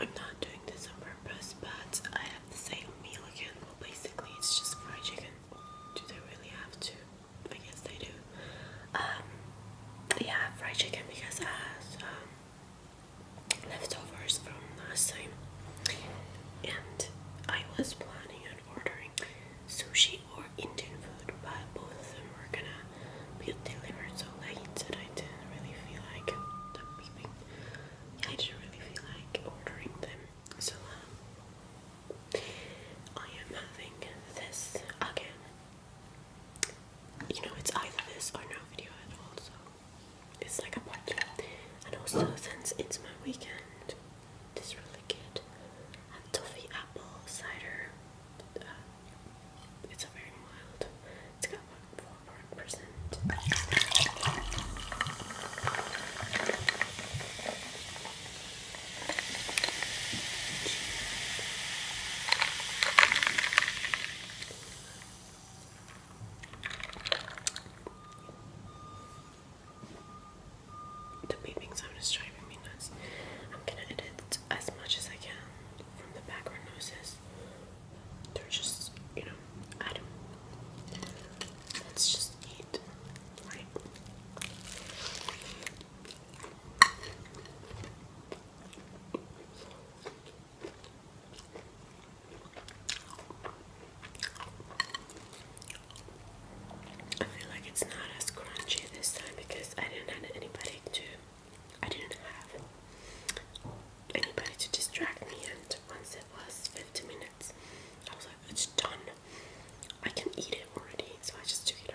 I'm not doing this on purpose, but I have the same meal again. Well, basically, it's just fried chicken. Do they really have to? I guess they do. Um, yeah, fried chicken because I have um, leftovers from last time, and I was planning on ordering sushi or Indian food but both of them were gonna be delivered so late that I didn't really feel like I did really feel like ordering them. So um, I am having this again. You know, it's either this or no video at all, so it's like a budget. And also, since it's my weekend, this really good. I uh, am toffee apple cider uh, it's a very mild. It's got four percent. The beeping sound is driving me nuts. I'm gonna edit as much as I can from the background noises. They're just, you know, I Let's just eat, right? I feel like it's not as crunchy this time because I didn't have anybody to I didn't have anybody to distract me, and once it was 50 minutes, I was like, it's done. I can eat it already, so I just took it out.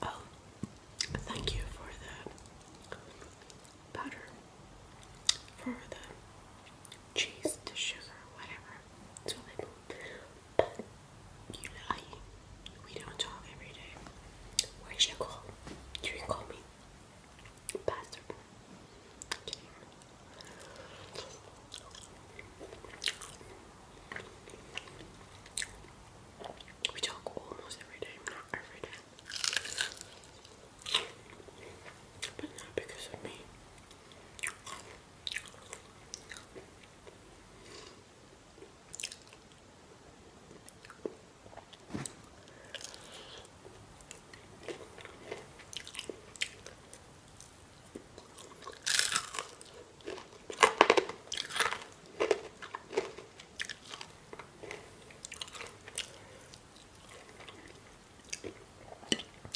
Oh, thank you for the butter, for the cheese, to sugar, whatever. It's really we don't talk every day. Where's your call? You did call me. Bastard. We talk almost every day, not every day. But not because of me.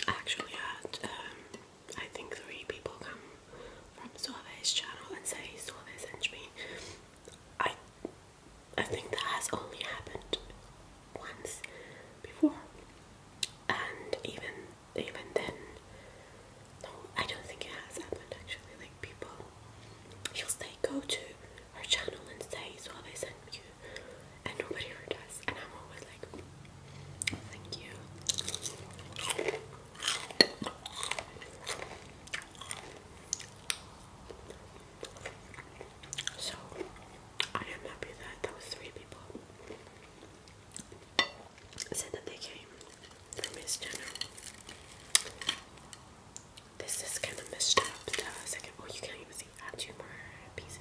I actually had um, I think three people come from Sorve's channel and say Sorve sent me. I I think that has only happened once before. And even even then no, I don't think it has happened actually. Like people she'll say go to her channel and say Sorve sent you and nobody ever and I'm always like Thank you. So, I am happy that that three people said that they came from his channel. This is kind of messed up. The second, oh, you can't even see. I two more pieces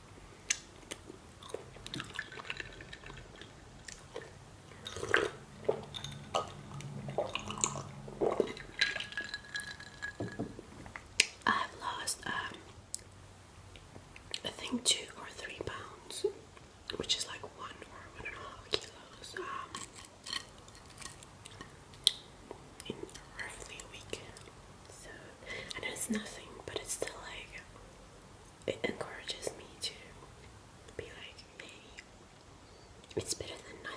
I've lost, um, I think, two or three pounds, which is like one or one and a half kilos um, in roughly a week. So, and it's nothing, but it's still like it encourages me to be like, hey, it's better than nothing.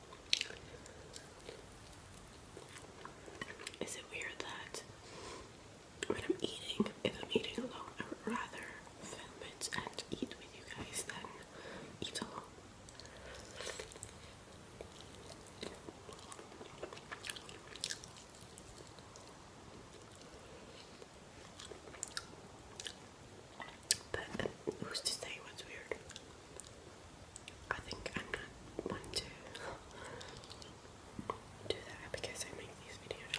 Is it weird that when I'm eating, if I'm eating alone, I would rather film it and eat with you guys than eat alone? But uh, who's to say what's weird? I think I'm not one to do that because I make these videos.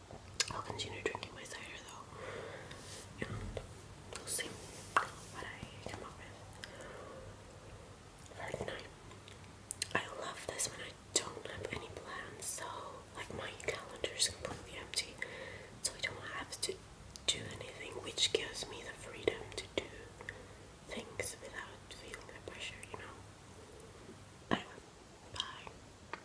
I'll continue drinking my cider though, and we'll see what I come up with for tonight. I love this when I don't have any plans, so like my calendar is completely empty, so I don't have to do anything, which gives me the freedom to do things without feeling the pressure, you know. Anyway, bye.